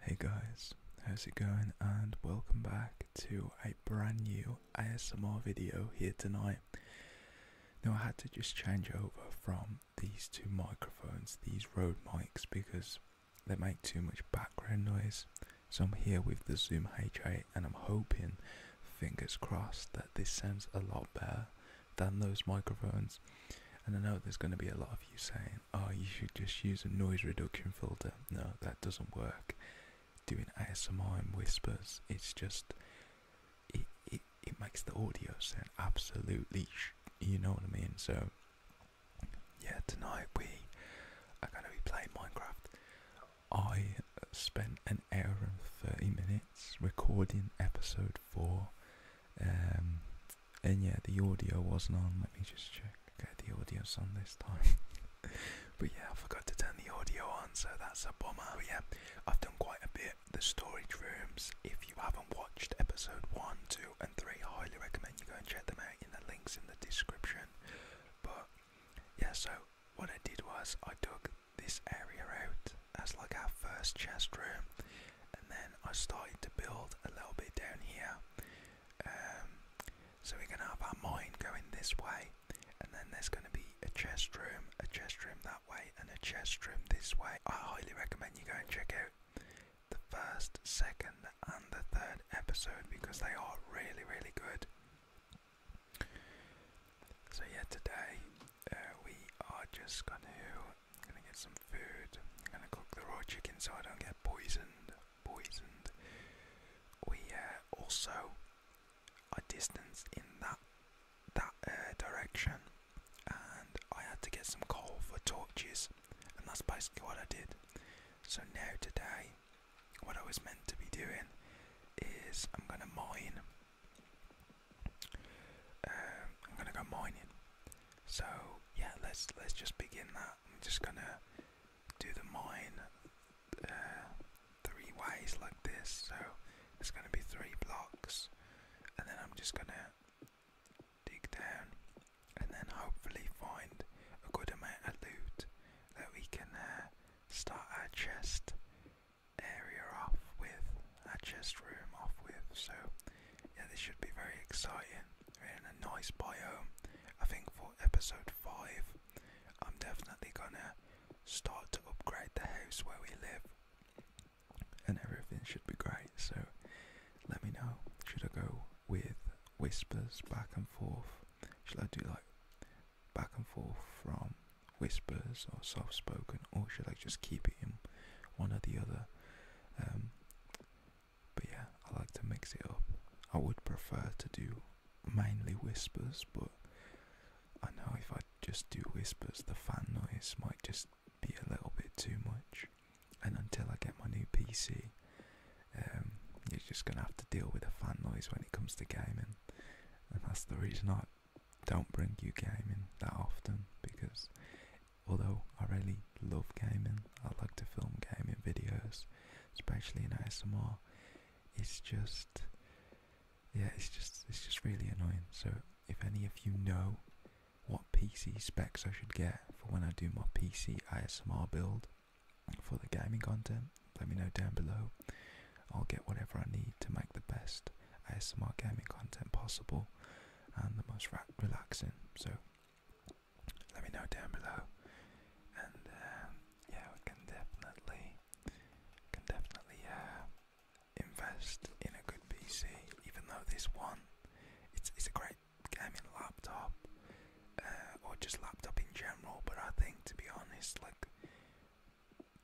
Hey guys, how's it going? And welcome back to a brand new ASMR video here tonight. Now, I had to just change over from these two microphones, these Rode mics, because they make too much background noise. So, I'm here with the Zoom H8, and I'm hoping, fingers crossed, that this sounds a lot better than those microphones. And I know there's going to be a lot of you saying, oh, you should just use a noise reduction filter. No, that doesn't work. Doing ASMR in whispers, it's just it, it, it makes the audio sound absolutely you know what I mean so yeah tonight we are going to be playing Minecraft I spent an hour and 30 minutes recording episode 4 um, and yeah the audio wasn't on let me just check okay the audio's on this time but yeah I forgot to turn the audio on so that's a bummer but yeah I've done quite a bit. The storage rooms, if you haven't watched episode 1, 2 and 3, I highly recommend you go and check them out in the links in the description. But yeah, so what I did was I dug this area out as like our first chest room and then I started to build a little bit down here. Um, so we're going to have our mine going this way and then there's going to be a chest room, a chest room that way and a chest room this way. I highly recommend you go and check out the first, second, and the third episode because they are really, really good. So yeah, today uh, we are just gonna gonna get some food. I'm gonna cook the raw chicken so I don't get poisoned. Poisoned. We uh, also a distance in that that uh, direction, and I had to get some coal for torches, and that's basically what I did. So now today, what I was meant to be doing is I'm gonna mine. Um, I'm gonna go mining. So yeah, let's let's just begin that. I'm just gonna do the mine uh, three ways like this, so it's going to be three blocks, and then I'm just going to dig down and then hopefully find a good amount of loot that we can uh, start our chest area off with, our chest room off with. So, yeah, this should be very exciting. we in a nice biome. I think for episode 5, I'm definitely gonna start to upgrade the house where we live, and everything should be great. So, let me know. Should I go with whispers back and forth? Should I do like back and forth from whispers or soft spoken, or should I just keep it in one or the other? Um, but yeah, I like to mix it up. I would prefer to do mainly whispers, but I know if I just do whispers, the fan noise might just be a little bit too much. And until I get my new PC, um, you're just gonna have to deal with the fan noise when it comes to gaming, and that's the reason I don't bring you gaming that often because although I really love gaming, I like to film gaming videos, especially in ASMR. It's just yeah, it's just it's just really annoying. So if any of you know what PC specs I should get for when I do my PC ISMR build for the gaming content, let me know down below. I'll get whatever I need to make the best ASMR gaming content possible and the most relaxing. So let me know down below, and um, yeah, we can definitely, can definitely uh, invest in a good PC, even though this one, it's it's a great gaming laptop, uh, or just laptop in general. But I think, to be honest, like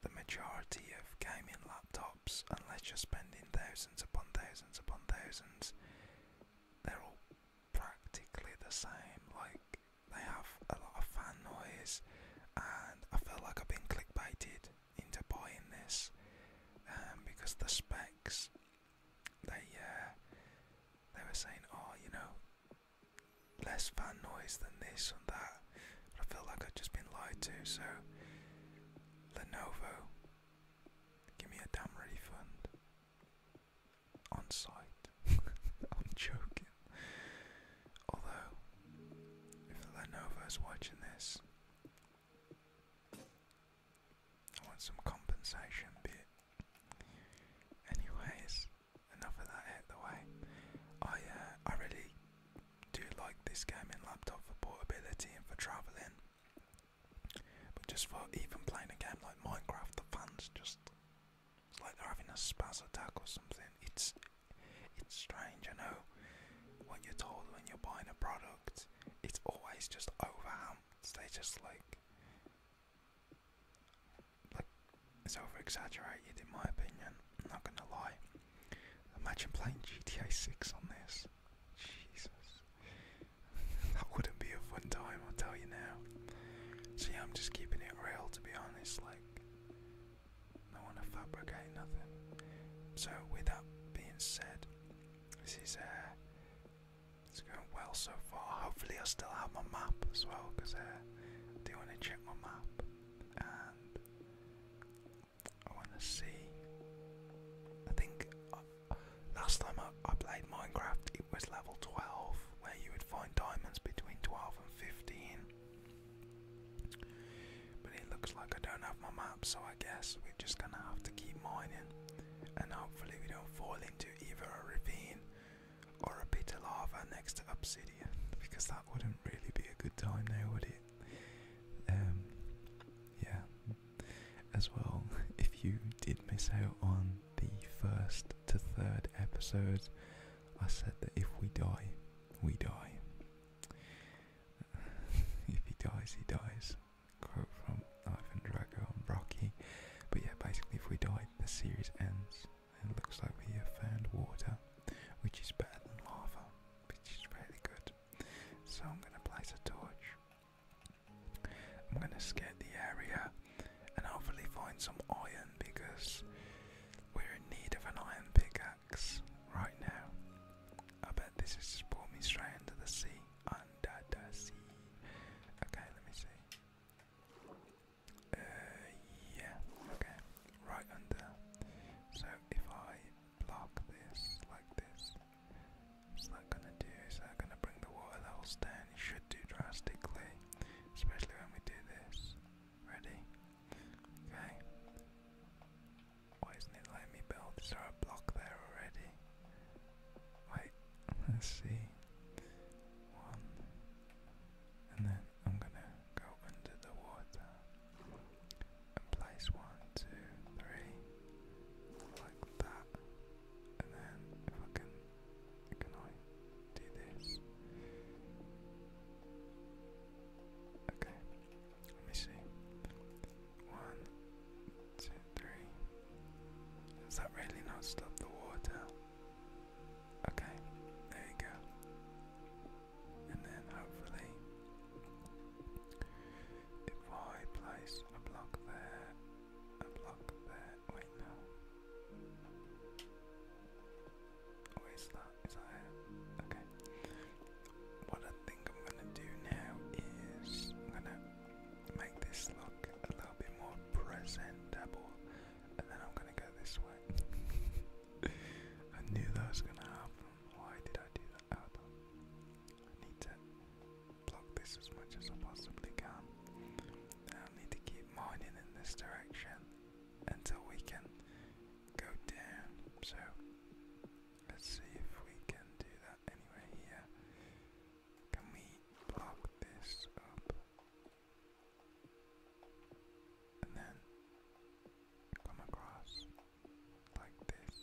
the majority of gaming laptops, unless you're spending thousands upon thousands upon thousands, they're all practically the same. Like they have a lot of fan noise, and I feel like I've been clickbaited into buying this um, because the specs they uh, they were saying, oh, you know, less fan noise than this and that. I feel like I've just been lied to. So Lenovo, give me a damn refund on site. I'm joking. Although, if Lenovo is watching this, I want some compensation bit. Anyways, enough of that out way. I uh, I really do like this gaming laptop for portability and for travelling. But just for even playing a game like Minecraft, the fans just like they're having a spaz attack or something. It's it's strange, you know. What you're told when you're buying a product, it's always just overhamped. They just like, like it's over exaggerated, in my opinion. I'm not gonna lie. Imagine playing GTA 6 on this. Jesus, that wouldn't be a fun time. I'll tell you now. See, I'm just keeping it real, to be honest. Like, I want to fabricate nothing. So, with that being said, this is uh, it's going well so far. Hopefully, I still have my map as well because uh, I do want to check my map and I want to see. I think uh, last time I played Minecraft, it was level 12 where you would find diamonds between 12 and 15. But it looks like I don't have my map, so I guess we're just gonna have to keep mining and hopefully we don't fall into either a ravine or a pit of lava next to obsidian because that wouldn't really be a good time now, would it? Um, yeah. As well, if you did miss out on the first to third episodes, I said that if we die, we die. if he dies, he dies. Quote from Ivan Drago on Rocky. But yeah, basically, if we die, the series ends. And it looks like we have found water, which is better than lava, which is really good. So I'm going to place a torch. I'm going to scan the area and hopefully find some iron because we're in need of an iron pickaxe right now. I bet this has just brought me straight into the sea. Under the sea. Okay, let me see. Uh, yeah, okay, right under. So if I block this like this, what's that gonna do? Is that gonna bring the water levels down? It should do drastically, especially when we do this. Ready? Okay. Why isn't it letting me build? Is there a block there already? Wait, let's see. One. And then I'm gonna go under the water and place one, two, three, like that. And then if can I do this? Okay. Let me see. One, two, three. Does that really not stop the water? Okay, there you go. And then hopefully, if I place a block there, a block there, wait, no. Okay. What I think I'm gonna do now is I'm gonna make this look a little bit more presentable, and then I'm gonna go this way. I knew that was gonna happen. Why did I do that? I need to block this as much as I possibly can. I need to keep mining in this direction until we can go down. So Let's see if we can do that anywhere here. Can we block this up? And then come across like this.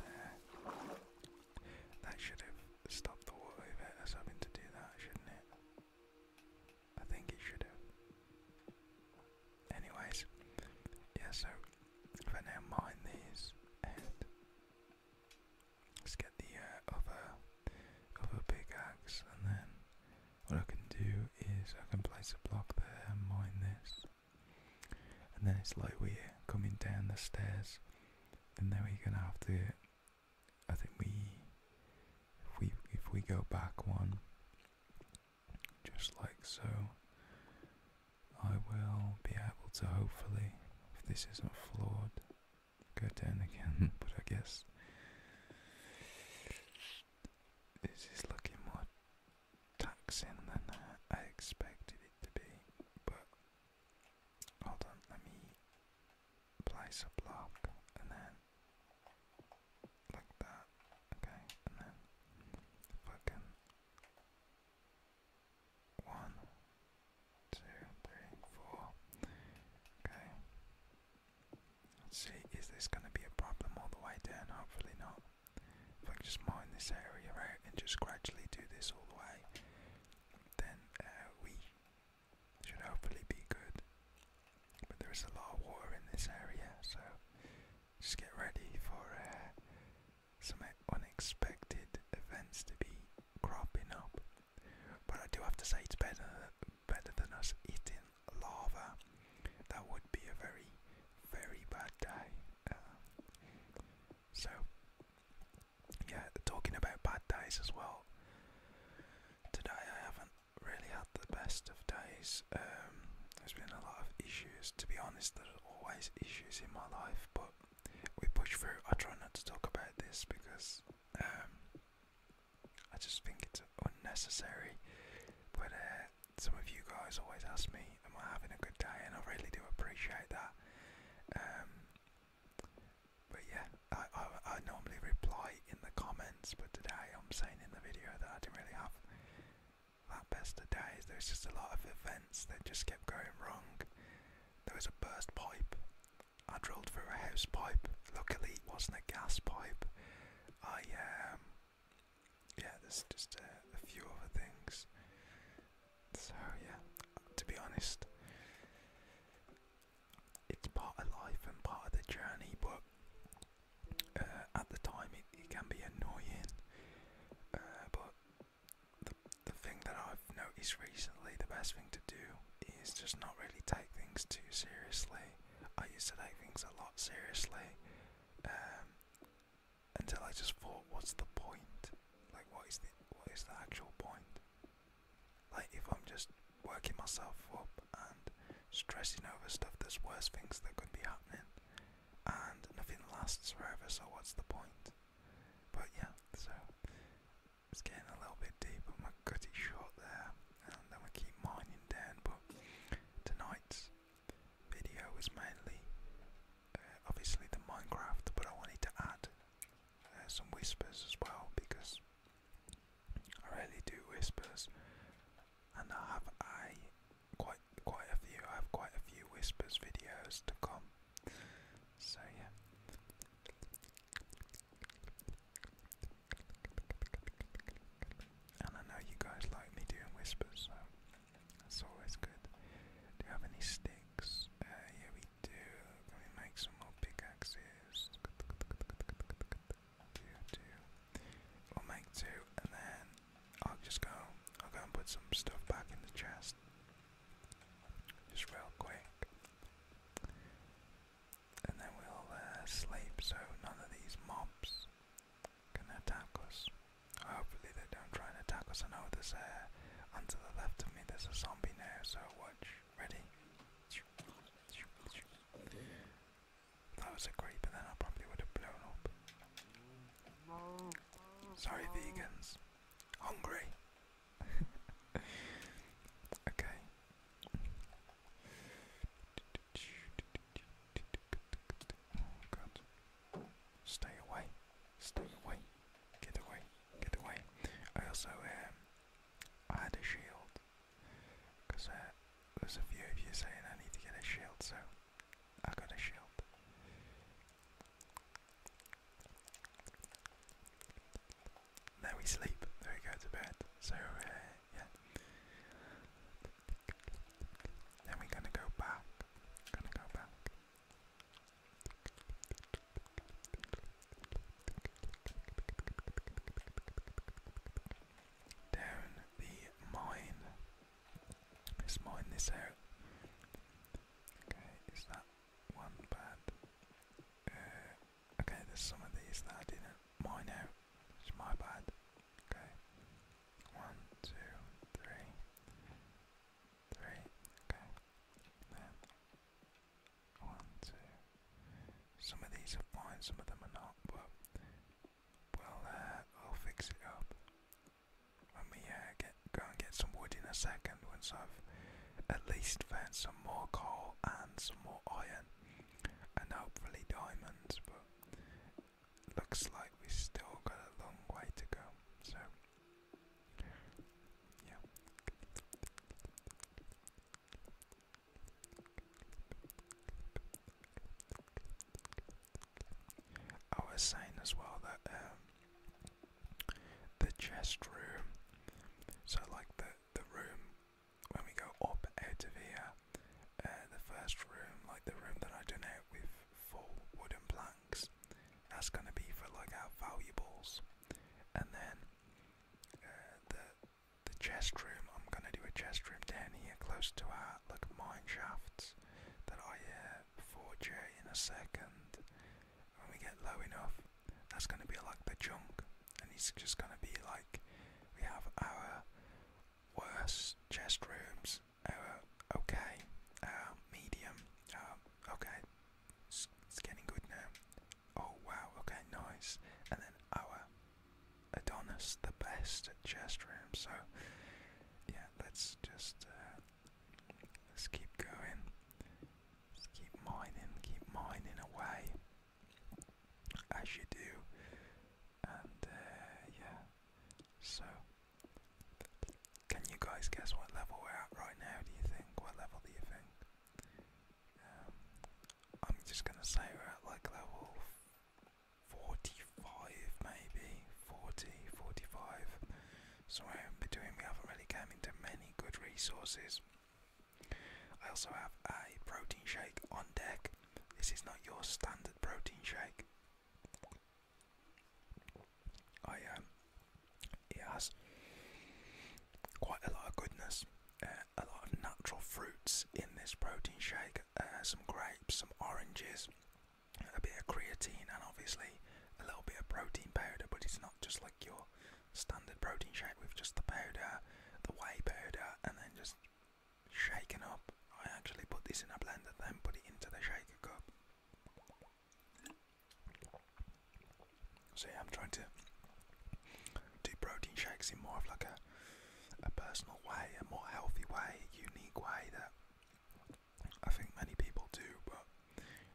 There. That should have stopped the water if it to do that, shouldn't it? I think it should have. Anyways, yeah, so for now, mine these and let's get the uh, other, other pickaxe, and then what I can do is I can place a block there mine this. And then it's like we're coming down the stairs, and then we're gonna have to. I think we, if we if we go back one, just like so. I will be able to hopefully, if this isn't flawed, go down again, but I guess this is looking more taxing than I expected it to be, but hold on, let me place a block and then like that. Okay, and then fucking one, two, three, four. Okay. Let's see, is this gonna be a problem all the way down? Hopefully not. If I just mine this area out and just gradually do this all the way, then uh, we should hopefully be good. But there is a lot of war in this area, so just get ready for uh, some unexpected events to be cropping up. But I do have to say it's better better than us eating lava. That would be a very, very bad day. Uh, so, yeah, talking about bad days as well. Today I haven't really had the best of days. Um, there's been a lot of issues. To be honest, there's always issues in my life, but we push through. I try not to talk about this because um, I just think it's unnecessary. But uh, some of you guys always ask me, "Am I having a good day?" And I really do appreciate that. Um, but yeah, I, I normally reply in the comments, but today I'm saying in the video that I didn't really have that best of days. There was just a lot of events that just kept going wrong. There was a burst pipe. I drilled through a house pipe. Luckily, it wasn't a gas pipe. I um, yeah, there's just a, a few other things. So yeah, to be honest, it's part of life and part of the journey. But uh, at the time, it, it can be annoying, uh, but the, the thing that I've noticed recently, the best thing to do is just not really take things too seriously. I used to take things a lot seriously um, until I just thought, what's the point? Like, what is the what is the actual point? Like, if I'm just working myself up and stressing over stuff, there's worse things that could be happening and nothing lasts forever, so what's the point? But yeah, so it's getting a little bit deep, but my gutty short there, and then we keep mining down. But tonight's video is mainly uh, obviously the Minecraft, but I wanted to add uh, some whispers as well because I really do whispers, and I have I quite quite a few. I have quite a few whispers videos to come. So yeah. And I know you guys like me doing whispers, so that's always good. Do you have any sticks? Uh, yeah, we do. Can we make some more pickaxes? Do, do i will make two, and then I'll just go. I'll go and put some stuff back in the chest, just real quick, and then we'll uh, sleep so none of these mobs can attack us. Hopefully they don't try and attack us. I know there's a. Uh, and the left of me, there's a zombie now. So watch. Ready? That was a great, but then I probably would have blown up. Sorry, vegans. Hungry. okay. Oh, Stay away. Stay away. Get away. Get away. I also um I had a shield. Because uh, there's a few of you saying I need to get a shield, so I got a shield. Now we sleep. Now we go to bed. So uh, yeah. Then we're gonna go back. Gonna go back. Down the mine. Let's mine this out. Okay, is that one bad? Uh, okay, there's some of these that I didn't mine out, which my bad. Okay, one, two, three, three. Okay, then one, two. Some of these are fine, some of them are not, but well, uh, I'll fix it up. Let me uh, get go and get some wood in a second once I've at least found some more coal and some more iron and hopefully diamonds. But looks like we still got a long way to go. So yeah. I was saying as well that um, the chest room, so like the the room when we go up out of here, uh, the first room, like the room that I done out with full wooden planks, that's gonna be for like our valuables, and then uh, the the chest room, I'm gonna do a chest room down here close to our like mine shafts that I hear uh, for J in a second. When we get low enough, that's going to be like the junk, and it's just going to be like we have our worst chest rooms, our okay, our medium, our okay, it's, it's getting good now. Oh wow, okay, nice, and then our Adonis, the best chest room. So yeah, let's just uh, let's keep going. Let's keep mining, keep mining away as you do, and uh, yeah. So, can you guys guess what level we're at right now? Do you think? What level do you think? Um, I'm just gonna say we're at like level 45 maybe, 40, 45, somewhere in between. We haven't really come into many good resources. I also have a protein shake on deck. This is not your standard protein shake. I um, it has quite a lot of goodness, uh, a lot of natural fruits in this protein shake. Uh, some grapes, some oranges, a bit of creatine, and obviously a little bit of protein powder. But it's not just like your standard protein shake with just the powder, the whey powder, and then just shaken up. I actually put this in a blender, then put it into the shake cup. So I'm trying to do protein shakes in more of like a a personal way, a more healthy way, unique way that I think many people do, but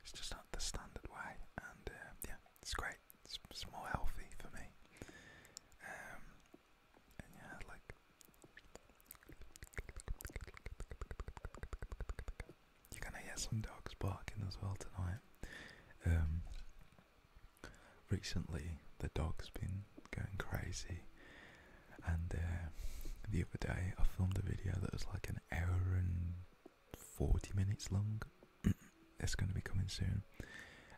it's just not the standard way. And uh, yeah, it's great. It's, more healthy for me. Um, and yeah, like you're gonna hear some dogs barking as well tonight. Um, recently the dog's been going crazy. And uh, the other day, I filmed a video that was like an hour and 40 minutes long. it's going to be coming soon.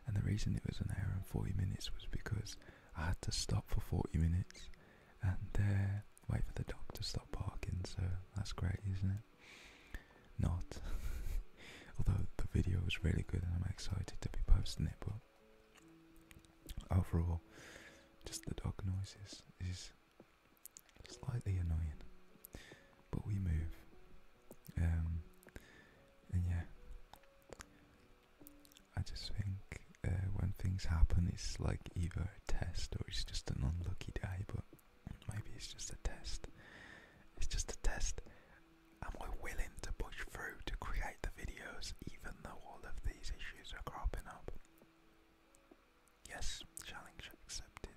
And the reason it was an hour and 40 minutes was because I had to stop for 40 minutes and uh, wait for the dog to stop barking. So that's great, isn't it? Not. Although the video was really good and I'm excited to be posting it, but Overall, oh, just the dog noises is slightly annoying, but we move. Um, and yeah, I just think uh, when things happen, it's like either a test or it's just an unlucky day, but maybe it's just a test. It's just a test. Am willing to push through to create the videos even though all of these issues are cropping up? Yes, challenge accepted.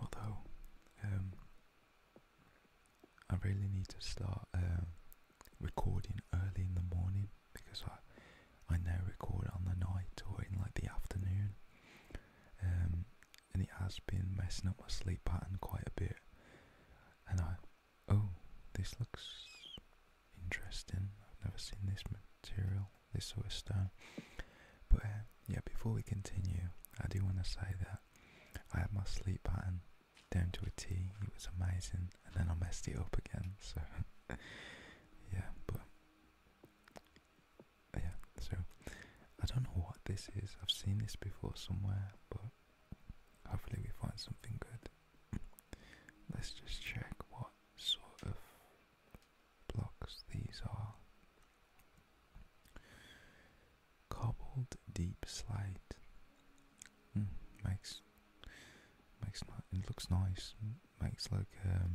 Although, um, I really need to start uh, recording early in the morning because I, I now record on the night or in like the afternoon, um, and it has been messing up my sleep pattern quite a bit. And I, Oh, this looks interesting. I've never seen this material, this sort of stone. But uh, yeah, before we continue, I do want to say that I had my sleep pattern down to a T. It was amazing, and then I messed it up again. So yeah, but yeah, so I don't know what this is. I've seen this before somewhere, but hopefully we find something good. Let's just check what sort of blocks these are. Cobbled deep slate. Hmm, makes makes ni it looks nice. Hmm, makes like um.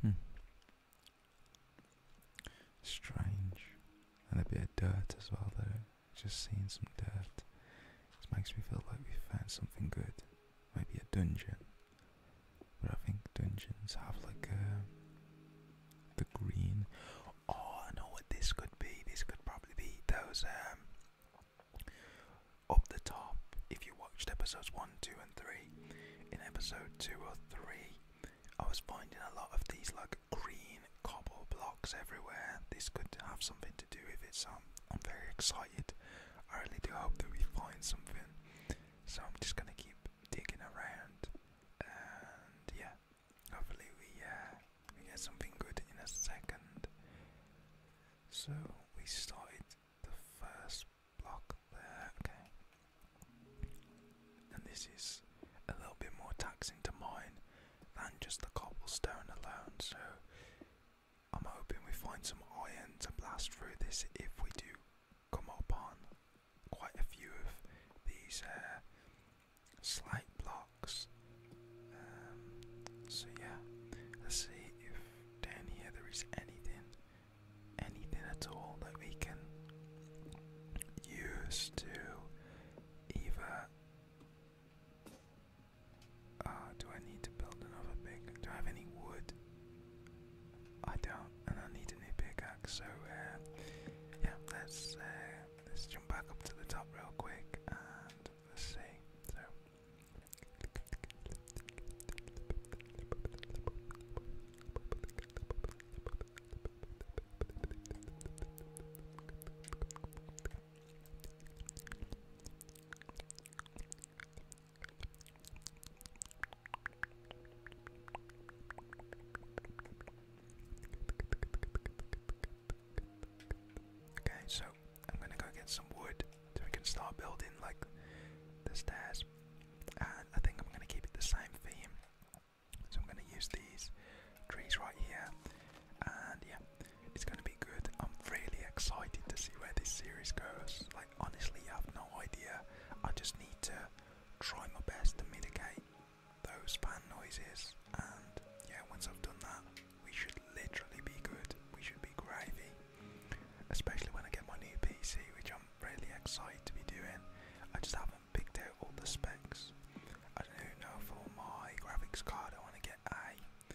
Hmm. Strange, and a bit of dirt as well though just seeing some dirt. It makes me feel like we found something good. Maybe a dungeon. But I think dungeons have like a uh, the green. Oh, I know what this could be. This could probably be those um, up the top. If you watched episodes one, two, and three, in episode two or three, I was finding a lot of these like green cobble blocks everywhere. This could have something to do with it, so I'm, very excited. I really do hope that we find something. So I'm just gonna keep digging around, and yeah, hopefully we uh, we get something good in a second. So we started the first block there, okay. And this is a little bit more taxing to mine than just the cobblestone alone. So I'm hoping we find some iron to blast through this if we do come up on quite a few of these uh, slight blocks. Um, so yeah, let's see if down here there is anything, anything at all that we can use to either Ah, do I need to build another pick? Do I have any wood? I don't, and I need a new pickaxe. So uh, yeah, let's uh, let's jump back up to the top real quick and let's see. Okay, so I'm gonna go get some wood so we can start building like the stairs. And I think I'm gonna keep it the same theme. So I'm going to use these trees right here, and yeah, it's going to be good. I'm really excited to see where this series goes. Like honestly, I have no idea. I just need to try my best to mitigate those fan noises, and yeah, once I've done that, we should literally be good. We should be gravy, especially when I get my new PC, which I'm really excited to be doing. I just haven't picked out all the specs. I don't know for my graphics card I want to get a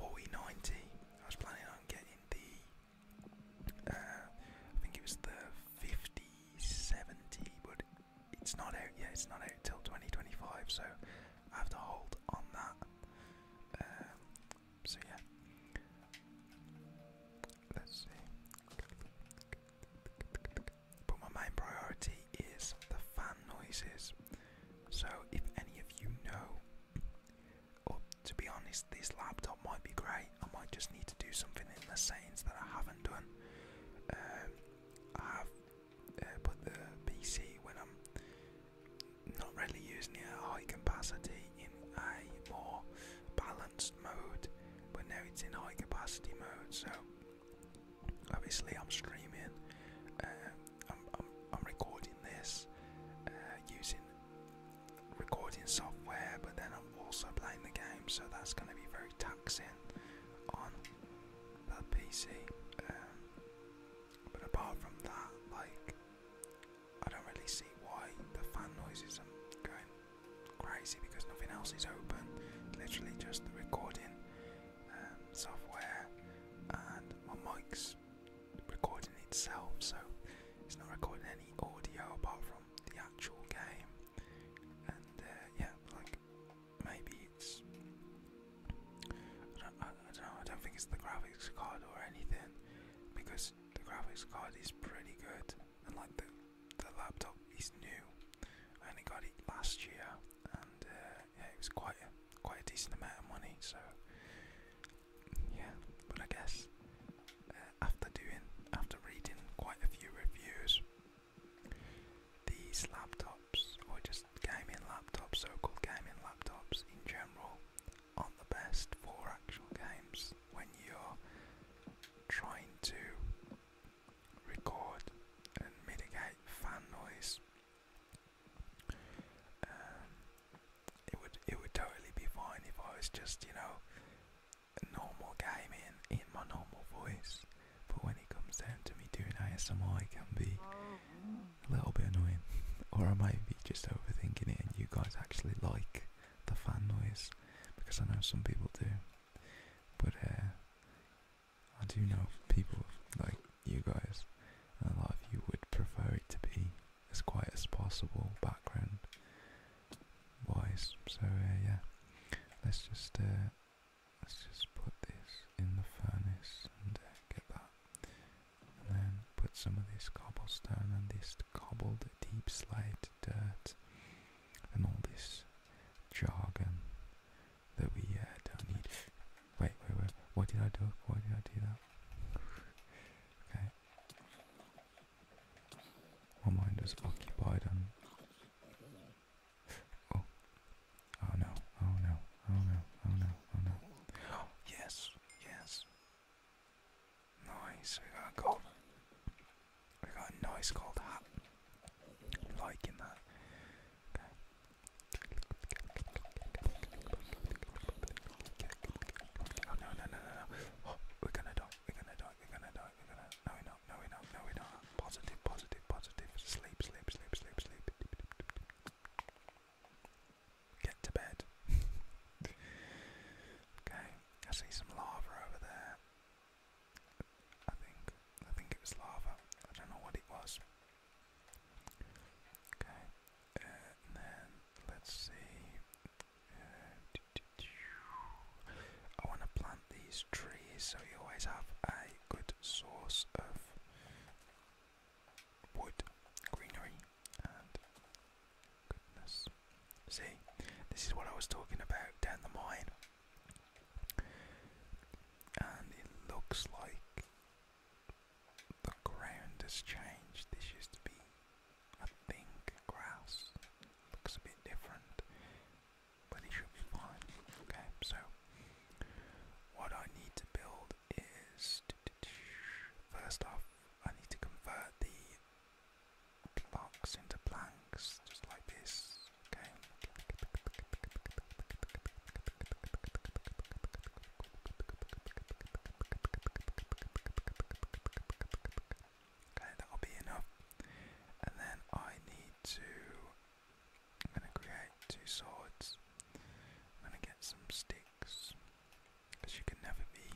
4090. I was planning on getting the, uh, I think it was the 5070, but it's not out yet. It's not out till 2025, so I have to hold on that. Um, so yeah, let's see but my main priority is the fan noises. So, if any of you know, or to be honest, this laptop might be great. I might just need to do something in the settings that I haven't done. Um, I have uh, put the PC when I'm not really using it at high capacity in a more balanced mode, but now it's in high capacity mode, so Obviously, I'm streaming. Uh, I'm, recording this uh, using recording software, but then I'm also playing the game, so that's going to be very taxing on the PC. Um, but apart from that, like I don't really see why the fan noises are going crazy because nothing else is open. literally just the recording um, software, and my mic's recording itself, so it's not recording any audio apart from the actual game. And uh, yeah, like maybe it's I don't, know. I don't think it's the graphics card or anything because the graphics card is pretty good, and like the the laptop is new. I only got it last year, and uh, yeah, it was quite a, quite a decent amount of money. So yeah, but I guess uh, after doing, after reading quite a few reviews, these laptops or just gaming laptops, so-called gaming laptops in general, aren't the best for actual games when you're trying to record and mitigate fan noise um, it would it would totally be fine if I was just you know normal gaming in my normal voice, but when it comes down to me doing ASMR, I can be a little bit annoying, or I might be just overthinking it, and you guys actually like the fan noise because I know some people do. But uh, I do know people like you guys, and a lot of you would prefer it to be as quiet as possible background wise. So uh, yeah, let's just uh, let's just put this in the furnace and uh, get that, and then put some of this cobblestone and this cobbled deep slate dirt and all this jargon that we uh, don't need. Wait, wait, wait. What did I do? Why did I do that? okay. My mind was occupied on. Oh. Oh no. Oh no. Oh no. Oh no. Oh no. Oh, yes. Yes. Nice. We got a gold. We got a nice gold hat liking that. Okay. Oh no no no no no! we're gonna die! We're gonna die! We're gonna die! We're gonna no we not! No we not! No we not! Positive! Positive! Positive! Sleep! Sleep! Sleep! Sleep! Sleep! Get to bed. okay, I see some lava over there. I think I think it was lava. I don't know what it was. Okay, and let's see. Uh, I want to plant these trees so you always have a good source of wood, greenery, and goodness. See, this is what I was talking about down the mine, and it looks like the ground has changed. This used to be, I think, grass. Looks a bit different, but it should be fine. Okay, so what I need to build is first off, I need to convert the blocks into planks, just like this. Okay, Okay, that'll be enough. And then I need to. I'm gonna create two swords. I'm gonna get some sticks. Because you can never be.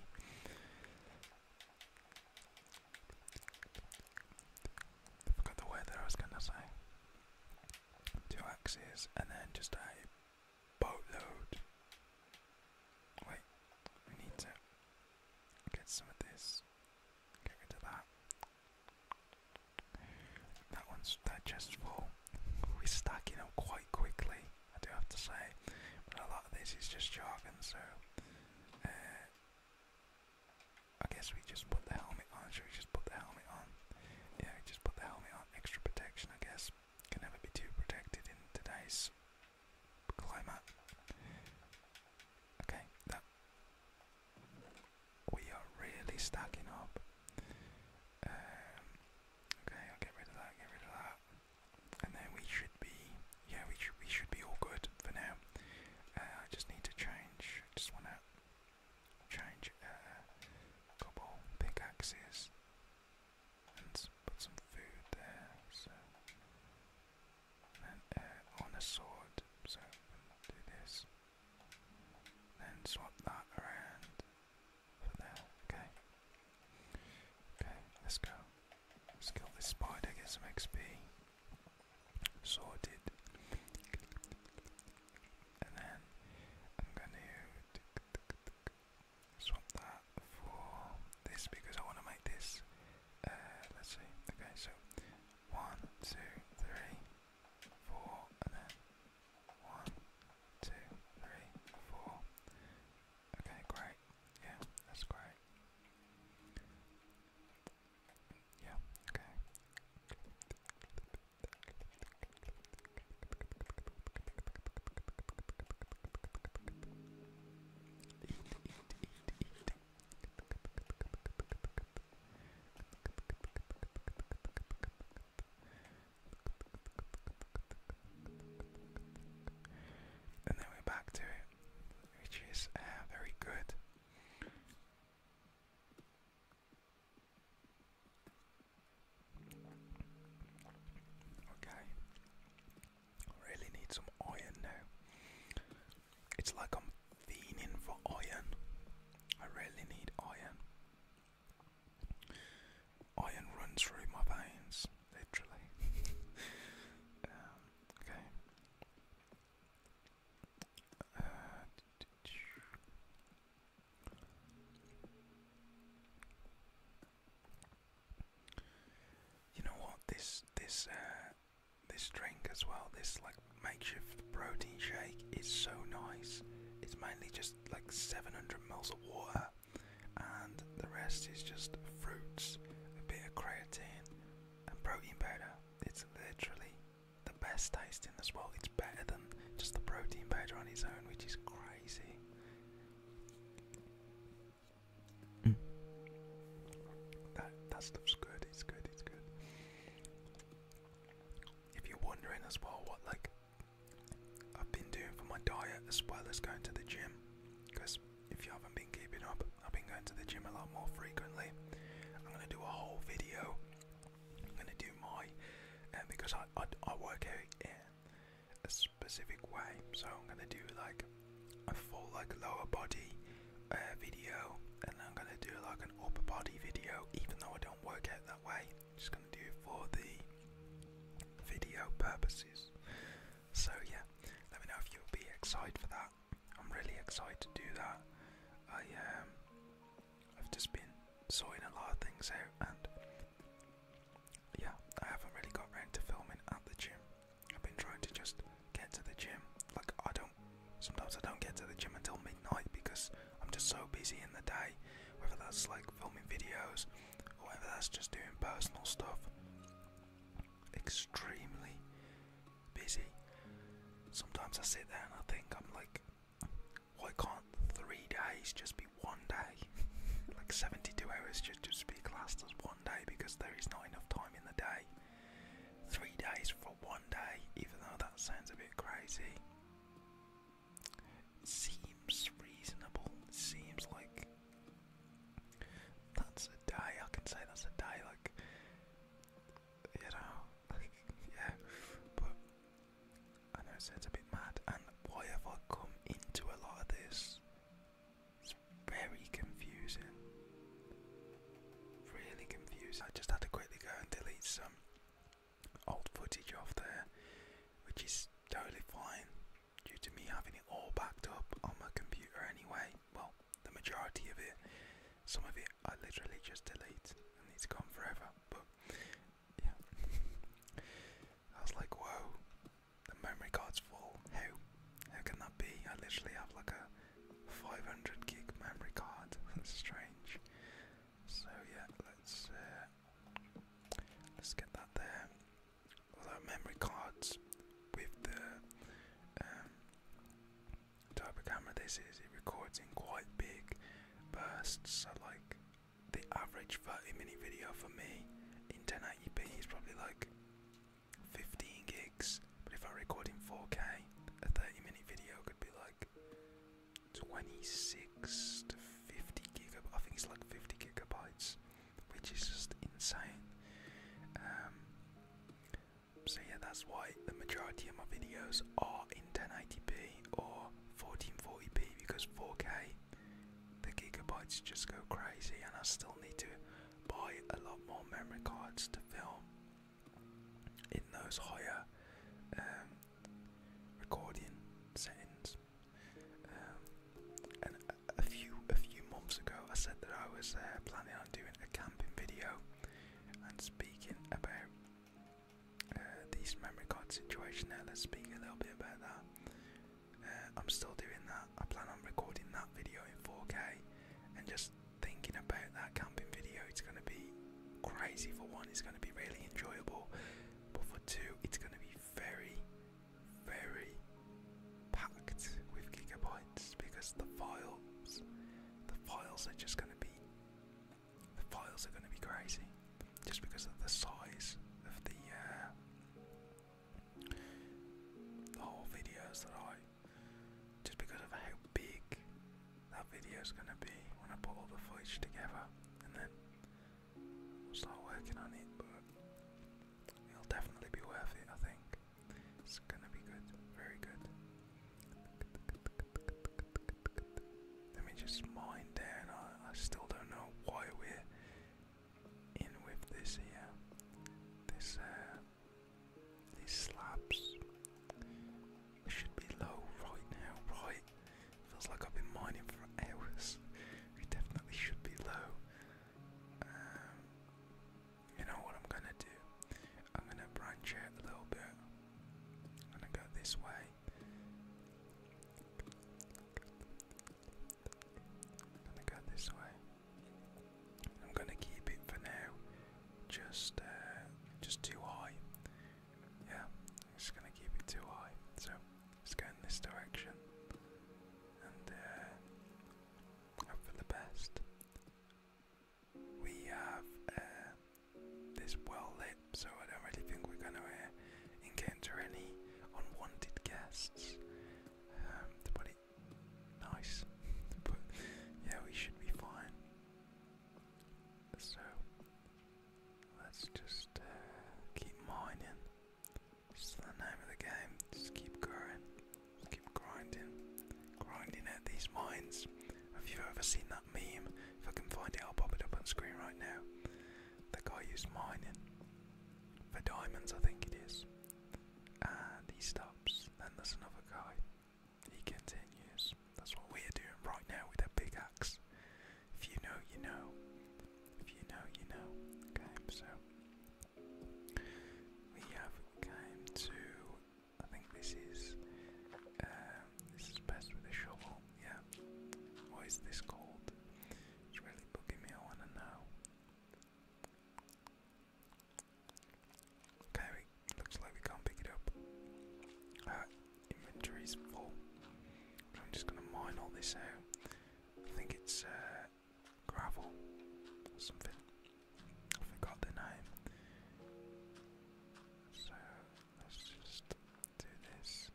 forgot the word I was gonna say two axes, and then just a boatload. Wait, we need to get some of this. Get rid that. That one's digestible. We're stacking up quite quickly, I do have to say. But a lot of this is just jargon, so uh, I guess we just put the helmet on. Should we just put the helmet on? yeah, just put the helmet on, extra protection, I guess. Can never be too protected in today's climate. Okay, that we are really stacking up. Um, okay, I'll get rid of that. Get rid of that, and then we should be, yeah, we should we should be all good for now. Uh, I just need to change. I just want change uh, cobble pickaxes and put some food there. So then uh, on a sword, so do this. Then swap that around there. Okay. Okay, let's go. Let's kill this spider, get some XP. Sorted and then I'm going to swap that for this because I want to make this. Uh, let's see. Okay, so one, two, three, four, and then one, two, three, four. Okay, great. Yeah, that's great. Yeah, okay. Eat, eat, And then we're back to it, which is uh, very good. Okay. Really need some iron now. It's like I'm fiending for iron. I really need iron. Iron runs through my veins, literally. Um, okay. Uh, you know what? This this uh, this drink as well. This like makeshift protein shake is so nice. It's mainly just like 700 mils of water, and the rest is just fruits, a bit of creatine, and protein powder. It's literally the best taste in as world. It's better than just the protein powder on its own, which is crazy. Mm. That that stuff's good. It's good. It's good. If you're wondering as well, what like I've been doing for my diet as well as going to the gym, because if you haven't been keeping up, I've been going to the gym a lot more frequently. I'm gonna do a whole video I'm gonna do my uh, because I, I work out in a specific way, so I'm gonna do like a full like lower body uh, video, and I'm gonna do like an upper body video, even though I don't work out that way. I'm just gonna do it for the video purposes. So yeah, let me know if you'll be excited for that. I'm really excited to do that. I um I've just been sorting a lot of things out, and yeah, I haven't really got around to filming at the gym. I've been trying to just get to the gym. Like I don't, sometimes I don't get to the gym until midnight because I'm just so busy in the day. Whether that's like filming videos, or whether that's just doing personal stuff. Extremely busy. Sometimes I sit there and I think I'm like, why can't three days just be one day? like 72 hours just, just be classed as one day because there is not enough time in the day. Three days for one day, even though that sounds a bit crazy, seems reasonable. Seems like that's a day. I can say that's a day, like you know, yeah. But I know it sounds a bit mad, and why have I come into a lot of this? It's very confusing. Really confusing. I just had to quickly go and delete some old footage off there, which is totally fine due to me having it all backed up on my computer anyway. Well, the majority of it. Some of it I literally just delete and it's gone forever, but yeah. I was like, whoa, the memory card's full. How? How can that be? I literally have like a 500 gig memory card. That's strange. So yeah, let's uh, let's get that there. Although memory cards with the um, type of camera this is, it records in quite big bursts. So like the average 30 minute video for me in 1080p is probably like 15 gigs, but if I am recording 4K, a 30 minute video could be like 26 to 50 gigabytes. I think it's like 50 gigabytes, which is just insane. Um, so yeah, that's why the majority of my videos are in. 1080p or 1440p because 4K, the gigabytes just go crazy, and I still need to buy a lot more memory cards to film in those higher um, recording settings. Um, a, few a few months ago, I said that I was uh, planning on doing a camping video and speaking about uh, this memory card situation Now, Let's speak a little bit about that. Uh, I'm still doing that. I plan on recording that video in 4K and just thinking about that camping video. It's going to be crazy for one, it's going to be really enjoyable, but for two, it's going to be very, very packed with gigabytes because the files, the files are just going to be the files are going to be crazy just because of the size of uh, the whole videos that I just because of how big that video is going to be when I put all the footage together and then I'll start working on it but it'll definitely be worth it I think it's going to be good very good let me just mine down. I, still don't know why we're in with this here. This uh, these slabs. should be low right now, right? Feels like I've been mining for hours. We definitely should be low. Um, you know what I'm gonna do? I'm gonna branch it a little bit. I'm gonna go this way. I'm gonna go this way. I'm gonna keep it for now. Just, uh, just too high. Yeah, i just gonna keep it too high. So it's going go this direction and uh, for the best. We have uh, this well lit so I don't really think we're gonna uh, encounter any unwanted guests. Um, nice, but yeah, we should be fine. So let's just uh, keep mining. It's the name of the game. Just keep going, keep grinding, grinding at these mines. Have you ever seen that meme? If I can find it, I'll pop it up on screen right now. The guy who's mining for diamonds, I think it is. And he stops. Then there's another guy. He continues. That's what we're doing right now with a big axe. If you know, you know. If you know, you know. Okay, so we have came to. I think this is. Um, this is best with a shovel. Yeah. What is this called? It's really bugging me, I wanna know. Okay, looks like we can't pick it up. Uh, inventory's full. I'm just gonna mine all this out. I think it's uh, gravel or something. I forgot the name. So let's just do this.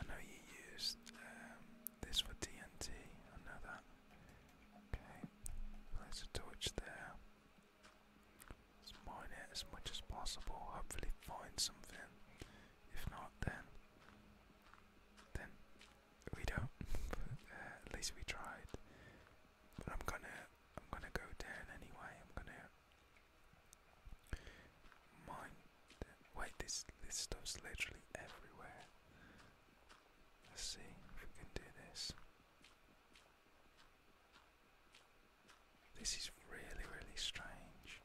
I know you used um, this for TNT, I know that. Okay, place a torch there. Let's mine it as much as possible, hopefully find something. If not, then, then we don't. Uh, at least we tried. But I'm gonna, I'm gonna go down anyway. I'm gonna Mind. Wait, this this stuff's literally everywhere. Let's see if we can do this. This is really, really strange.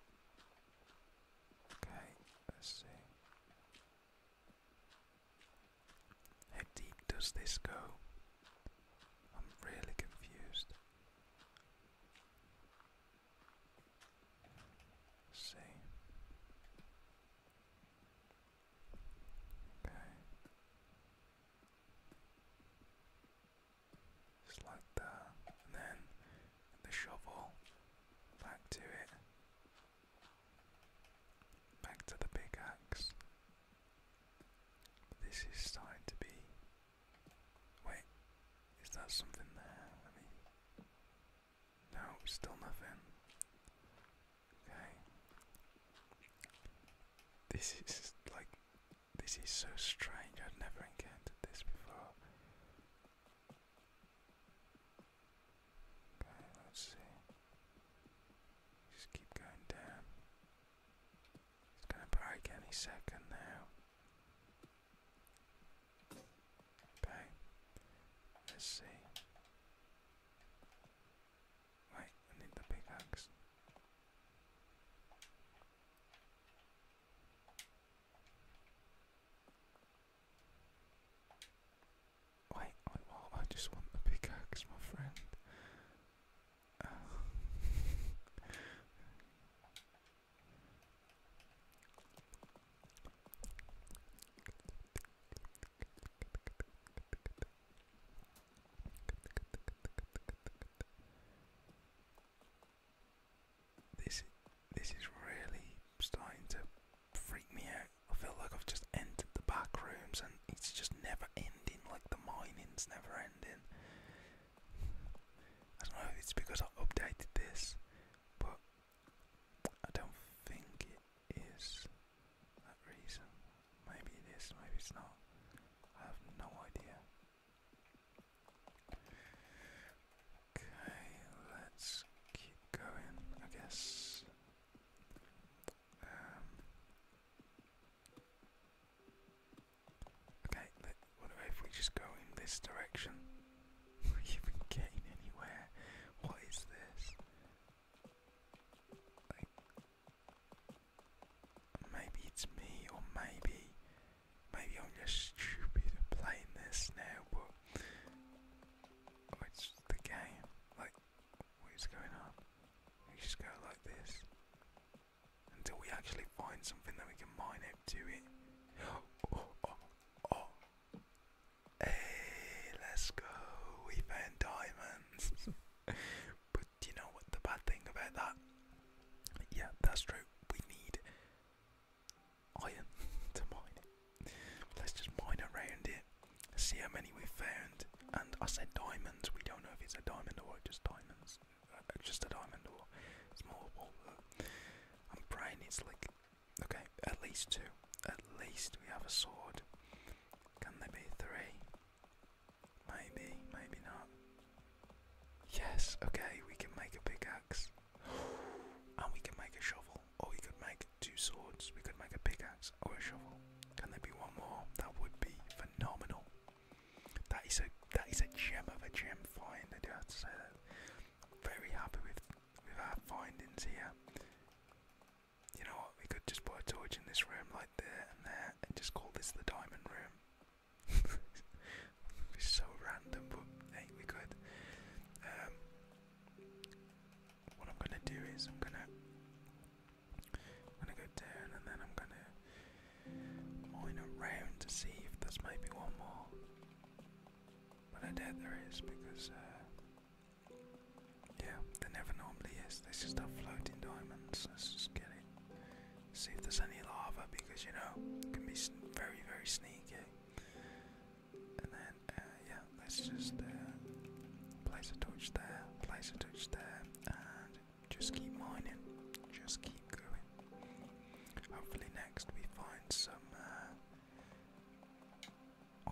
Okay, let's see. How deep does this go? I'm really confused let Okay. Just like that. And then the shovel back to it. Back to the pickaxe. This is starting to be Wait, is that something there? Let me. No, still nothing. Okay. This is like. This is so strange, I've never encountered this before. Okay, let's see. Just keep going down. It's gonna break any second now. Okay. Let's see. Wait, I need the pickaxe. Wait, I, just want the pickaxe, my friend. Uh, This this is really starting to freak me out. I feel like I've just entered the back rooms and it's just never ending, like the mining's never ending. I don't know if it's because I updated this, but I don't think it is that reason. Maybe it is, maybe it's not. I have no idea. Okay, let's keep going, I guess. Um, Okay, what if we just go in this direction? we even getting anywhere. What is this? Like, maybe it's me, or maybe, maybe I'm just stupid and playing this now. But it's the game. Like, what is going on? We just go like this until we actually find something that we can mine him it. Oh, oh, oh. Hey, let's go. We found diamonds. but do you know what the bad thing about that? Yeah, that's true. We need iron to mine Let's just mine around it, see how many we found. And I said diamonds. We don't know if it's a diamond or just diamonds. Uh, just a diamond or small and Brian needs like, okay, at least two. At least we have a sword. Can there be three? Maybe, maybe not. Yes, okay, we can make a pickaxe. And we can make a shovel. Or we could make two swords. We could make a pickaxe or a shovel. Can there be one more? That would be phenomenal. That is a that is a gem of a gem find, I do have to say that very happy with with our findings here. You know what? We could just put a torch in this room, like there and there, and just call this the diamond room. it's so random, but hey, we could. Um, what I'm gonna do is I'm gonna gonna go down and then I'm gonna mine around to see if there's maybe one more. But I doubt there is because, uh, yeah, there never normally is. They just have floating diamonds. Let's just get it. See if there's any lava because, you know, it can be very, very sneaky. And then, uh, yeah, let's just uh, place a torch there, place a torch there, and just keep mining. Just keep going. Hopefully next we find some uh,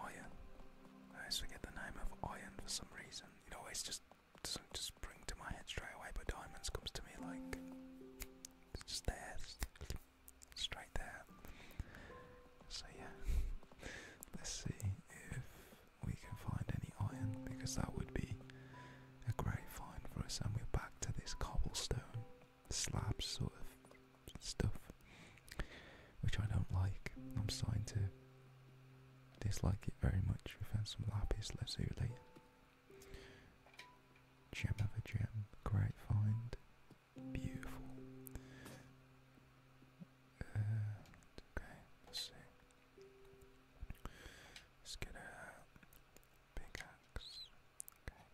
iron. I always forget the name of iron for some reason. It always just just spring to my head straight away, but diamonds comes to me like just there, straight there. So yeah, let's see if we can find any iron because that would be a great find for us. And we're back to this cobblestone slabs sort of stuff, which I don't like. I'm starting to dislike it very much. We found some lapis, lazuli, Gem of a gem, great find, beautiful. Uh, okay, let's see. Let's get a pickaxe. Okay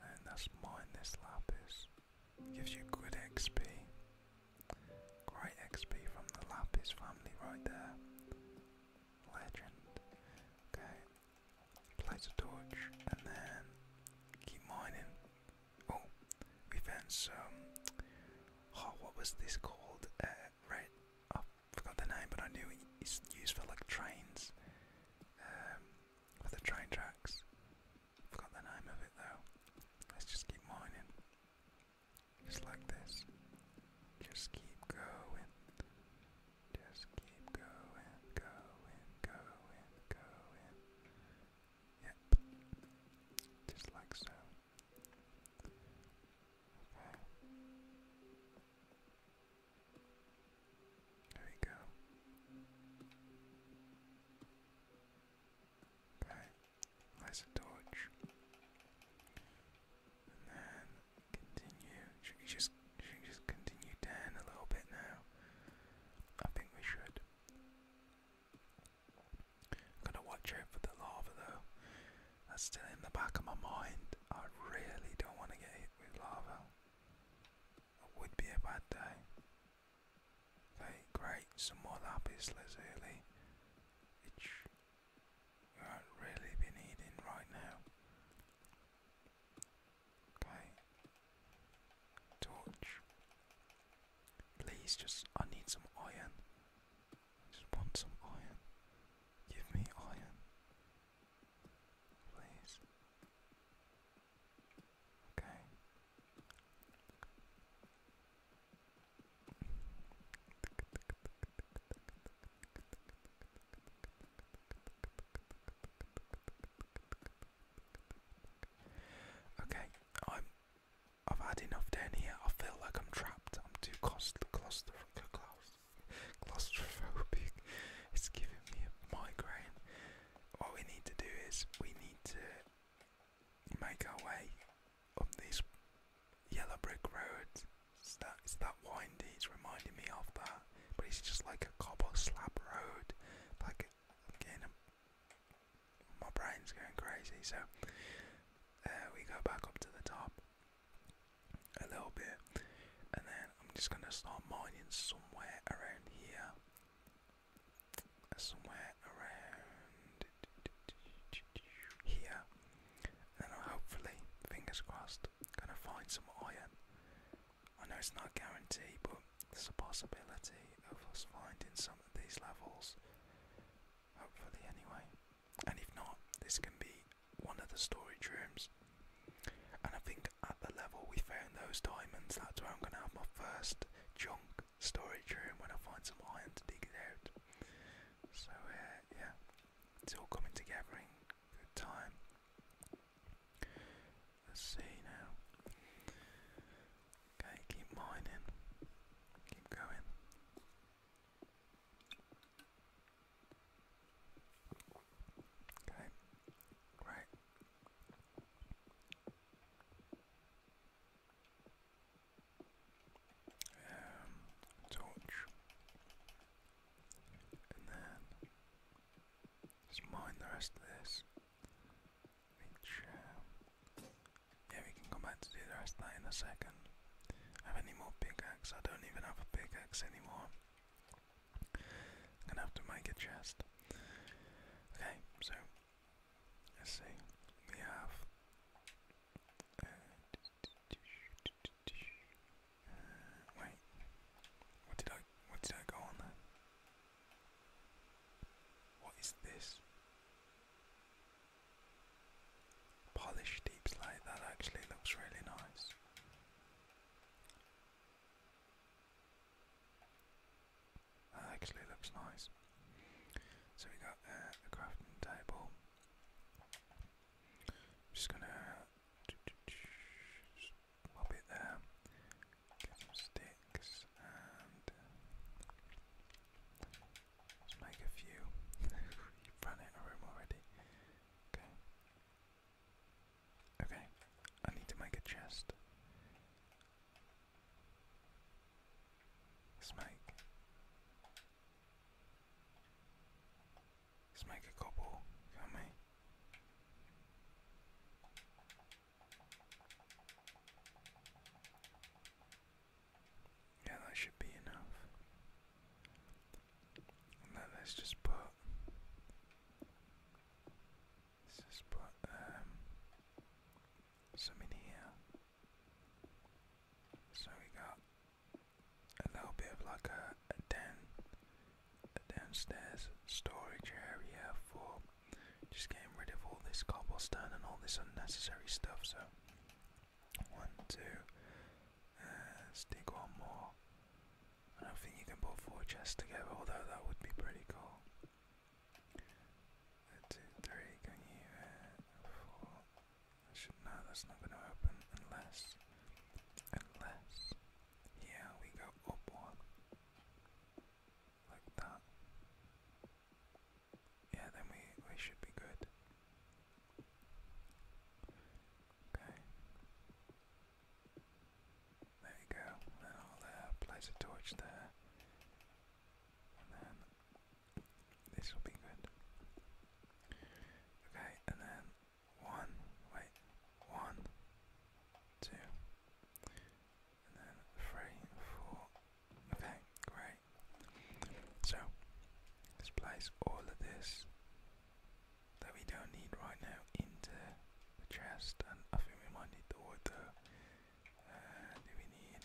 and that's us mine this lapis. It gives you good XP. Great XP from the lapis family right there. Legend. Okay. Place a torch and then keep mining. Oh, we found some. Oh, what was this called? Uh, red. I forgot the name, but I knew it's used for like trains um, the train tracks. Forgot the name of it though. Let's just keep mining. Just like this. Just keep going. Just keep going, going, going, going. Yep. Just like so. Okay. There you go. Okay, nice torch. And then continue. Should we just should we just continue down a little bit now? I think we should. I'm gonna watch out for the lava though. That's still in the back of my mind. I really don't want to get hit with lava would be a bad day. Like, great, some more lapis lazuli, which you will really be needing right now. Okay, torch. Please, just, I need some iron. just want some iron. Give me iron. Please. Okay. Okay, I'm. I've had enough down here. I feel like I'm trapped. I'm too claustrophobic. Claust claustrophobic. It's giving me a migraine. What we need to do is we need to make our way up this yellow brick road. It's that, it's that windy, it's reminding me of that. But it's just like a cobble slab road. Like, again, my brain's going crazy. So uh, we go back up to the top a little bit and then I'm just gonna start mining somewhere around here. Somewhere around here. And I'll hopefully, fingers crossed, gonna find some iron. I know it's not a guarantee, but there's a possibility of us finding some of these levels. Hopefully, anyway. And if not, this can be one of the storage rooms. And I think at the level we found those diamonds, that's where I'm going to have my first junk storage room when I find some iron to dig it out. So uh, yeah, it's all coming together in good time. Let's see now. Okay, keep mining. Keep going. Okay, great. Um, torch, and then just mine the rest of this. Um, yeah, we can come back to do the rest of that in a second. Have any more pickaxe? I don't even have a pickaxe anymore gonna have to make a chest. Okay, so let's see. We have uh, wait. What did I what did I go on there? What is this? Polished deep slate, that actually looks really nice. That actually looks nice. So we got uh, crafting table. just gonna pop it there. Get some sticks and make a few. You've run out of room already. Okay. Okay, I need to make a chest. Let's make. Let's make a cobble, Yeah, that should be enough. And let's just put just put um, some in here. So we got a little bit of like a, a downstairs storage area for just getting rid of all this cobblestone and all this unnecessary stuff. So one, two. let's uh, dig one more. I don't think you can put four chests together, although that would be pretty cool. A can you uh, four? I should no, that's not gonna open unless unless yeah we go up one. Like that. Yeah, then we we should be good. Okay. There we go. Then I'll uh, place a torch there. And then this will be good. Okay, and then one, wait, one, two, and then three, four. Okay, great. So, let's place all of this that we don't need right now into the chest and I think we might need the water. Uh, do we need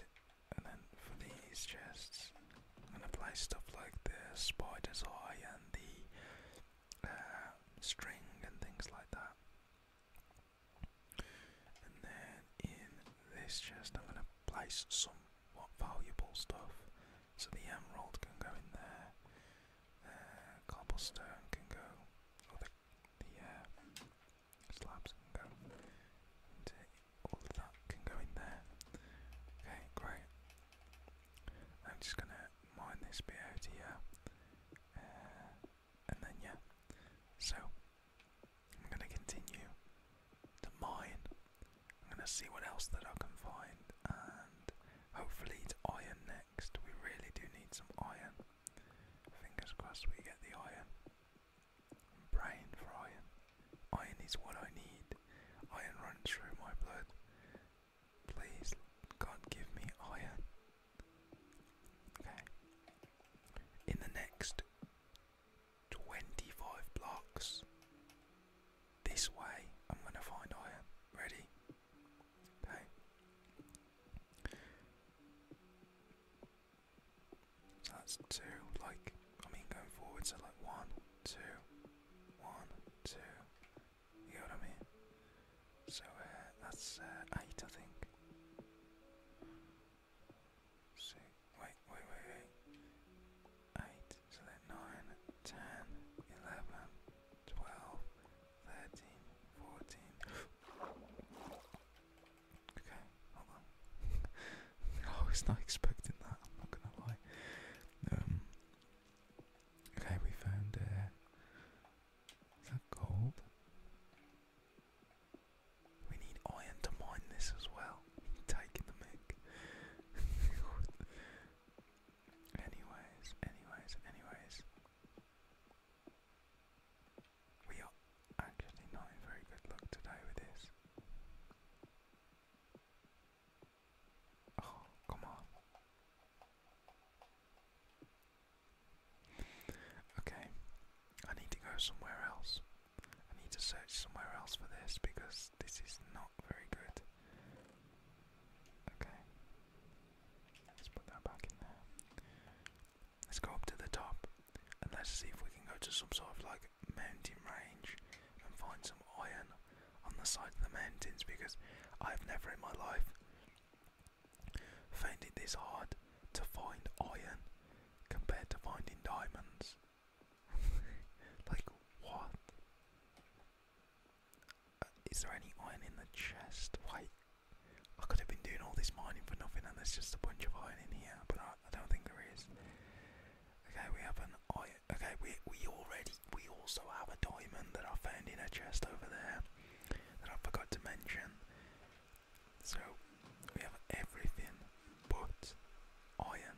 and then for these chests I'm gonna place stuff like the spider's eye and the uh, string and things like that. And then in this chest I'm gonna place some what valuable stuff. So the emerald can go in there, uh, cobblestone can go, the slabs can go all of that can go in there. Okay, great. I'm just gonna mine this bit here, uh, and then yeah. So I'm gonna continue to mine. I'm gonna see what else that I can find, and hopefully it's iron next. We really do need some iron. Fingers crossed we get the iron. i for iron. Iron is what I need. Iron runs through my blood. Please, God, give me iron. Okay. In the next 25 blocks, this way, I'm going to find iron. Ready? Okay. So that's two, like, I mean, going forward, so like one, two, one, two. You know what I mean? So uh, that's uh, eight, I think. Six, wait, wait, wait, wait. Eight, so then nine, ten, eleven, 12, okay, hold on. I was oh, not expecting that, I'm not gonna lie. Um, okay, we found. is that gold? We need iron to mine this as well. Taking the mic. anyways, anyways, anyways. We are actually not in very good luck today with this. Oh, come on. Okay, I need to go somewhere else. I need to search somewhere else for this because this is not very good. Okay, let's put that back in there. Let's go up to the top and let's see if we can go to some sort of like mountain range and find some iron on the side of the mountains because I've never in my life found it this hard to find iron compared to finding diamonds. like, what? Uh, there any iron in the chest? Wait, I could have been doing all this mining for nothing and there's just a bunch of iron in here, but I, don't think there is. Okay, we have an iron. Okay, we we already we also have a diamond that I found in a chest over there that I forgot to mention. So we have everything but iron.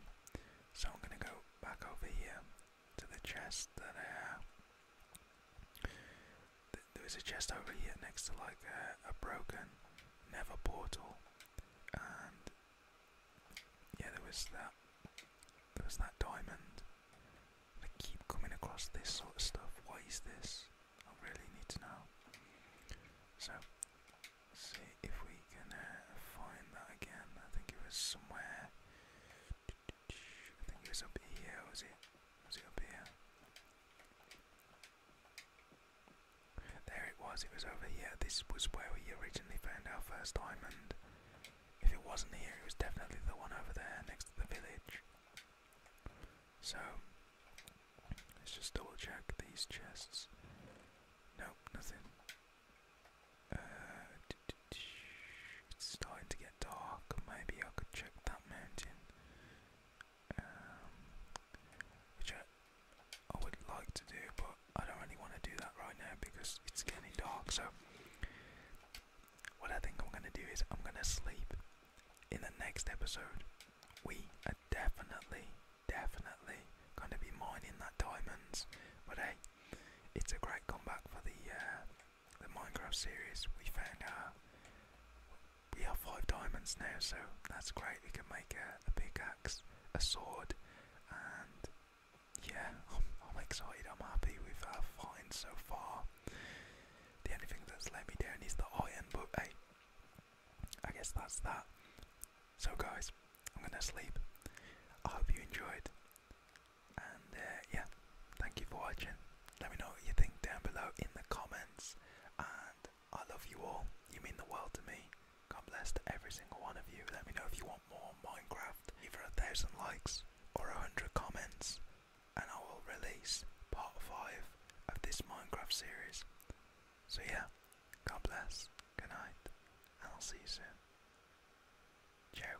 So I'm gonna go back over here to the chest that I have there was a chest over here next to like a, broken never portal, and yeah, there was that. There was that diamond. I keep coming across this sort of stuff. What is this? I really need to know. So, see if we can uh, find that again. I think it was somewhere. I think it was up here. Was it? Was it up here? There it was, it was over here. This was where we originally found our first diamond. If it wasn't here, it was definitely the one over there next to the village. So, let's just double check these chests. Nope, nothing. Uh, it's starting to get dark. Maybe I could check that mountain. Um, which I, I would like to do, but I don't really want to do that right now because it's getting dark. So, what I think I'm gonna do is I'm gonna sleep. In the next episode, we are definitely, definitely gonna be mining that diamonds. But hey, it's a great comeback for the uh, the Minecraft series. We found out we have five diamonds now, so that's great. We can make a, big axe, a sword, and yeah, I'm, excited. I'm happy with our find so far. The only thing that's let me down is the iron, but hey, I guess that's that. So, guys, I'm gonna sleep. I hope you enjoyed, and uh, yeah, thank you for watching. Let me know what you think down below in the comments. And I love you all. You mean the world to me. God bless every single one of you. Let me know if you want more Minecraft. Either a thousand likes or a hundred comments. And I will release part five of this Minecraft series. So yeah, God bless. Good night. And I'll see you soon. Ciao.